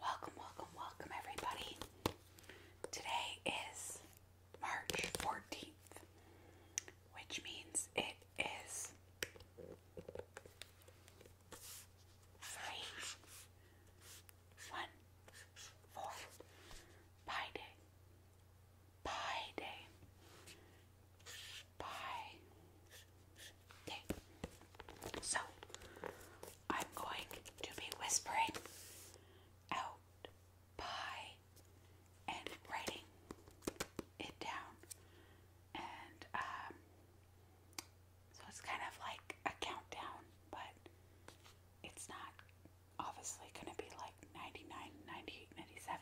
Welcome, welcome, welcome, everybody. Today is March 14th, which means it is three, one, four, pie day, pie day, pie so I'm going to be whispering out pie and writing it down, and um, so it's kind of like a countdown, but it's not obviously going to be like 99, 98, 97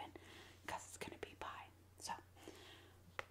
it's going to be pie. So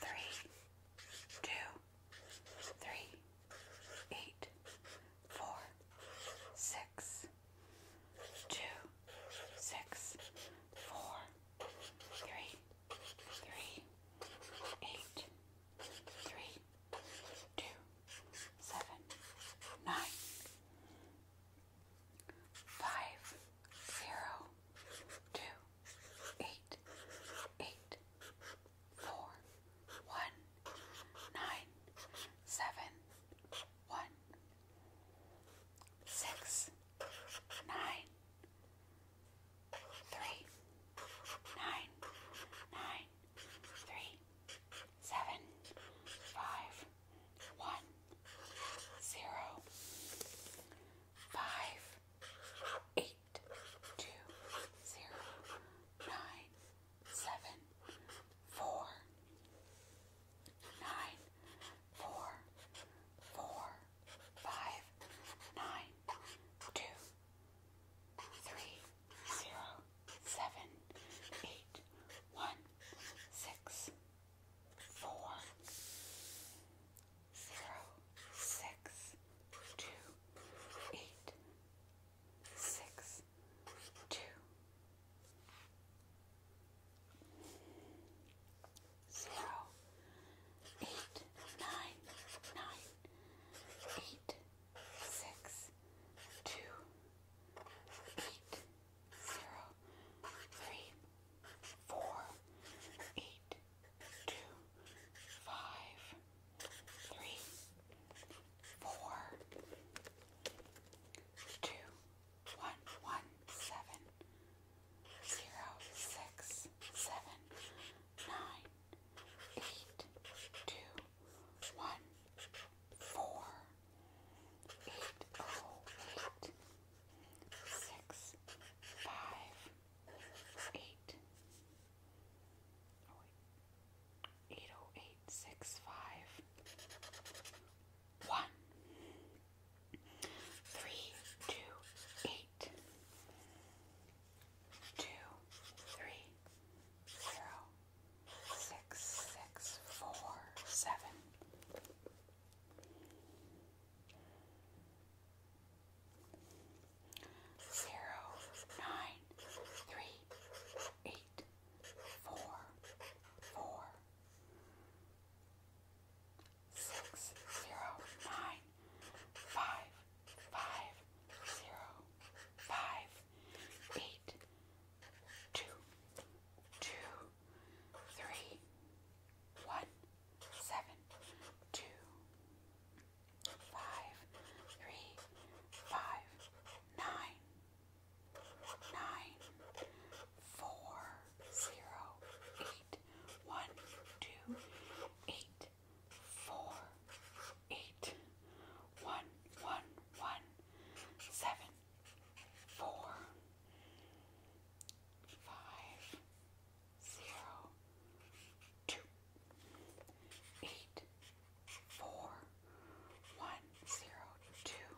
three, two, three, eight, four, six, two, six, four, three, three, eight, three, two, seven, nine five zero two eight eight four one nine seven one six nine three nine nine three seven five one, zero, five, eight, two, zero, nine, seven, four, nine, four, four, five, nine, two, three, zero, seven, eight, one six, four, zero, six, two, eight, six, two, zero, eight, nine, nine, eight, six, two, eight, zero, three, four, eight, two, five, three, four, two, one, one, seven, zero, six, seven, nine, eight, two, one four eight oh eight six five eight oh wait eight oh eight six five one three two eight two three zero six, six, four, seven. Zero, nine, three, eight, four, four, six, zero, nine, five, five, zero, five, eight, two, two, three, one, seven, two, five, three, five, nine, nine, four, zero, eight, one, two, eight, four, eight, one, one, one, seven, four, five, zero, two, eight, four, one, zero, two,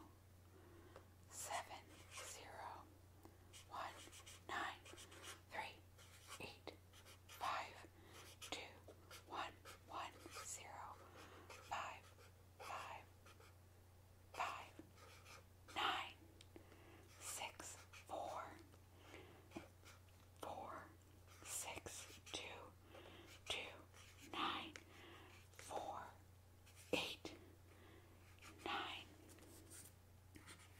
seven, zero, one, nine, three, eight, five, two, one, one, zero, five, five, five, nine, six, four, four, six, two, two, nine, four, eight, nine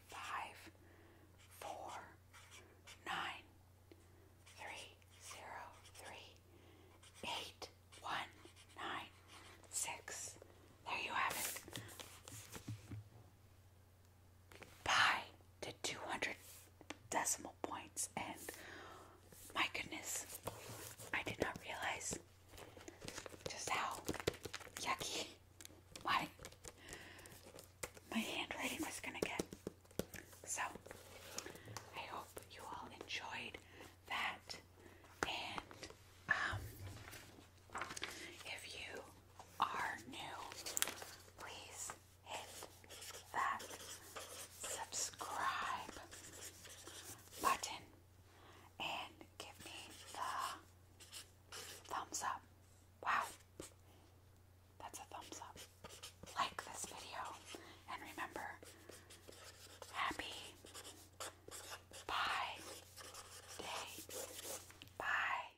five, four, nine, three, zero, three, eight, one, nine, six. There you have it. Pi to two hundred decimal points, and my goodness, I did not realize just how yucky my my handwriting was gonna get. So I hope you all enjoyed that and um if you are new please hit that subscribe button and give me the thumbs up. Wow, that's a thumbs up. Like this video and remember, happy bye day. Bye.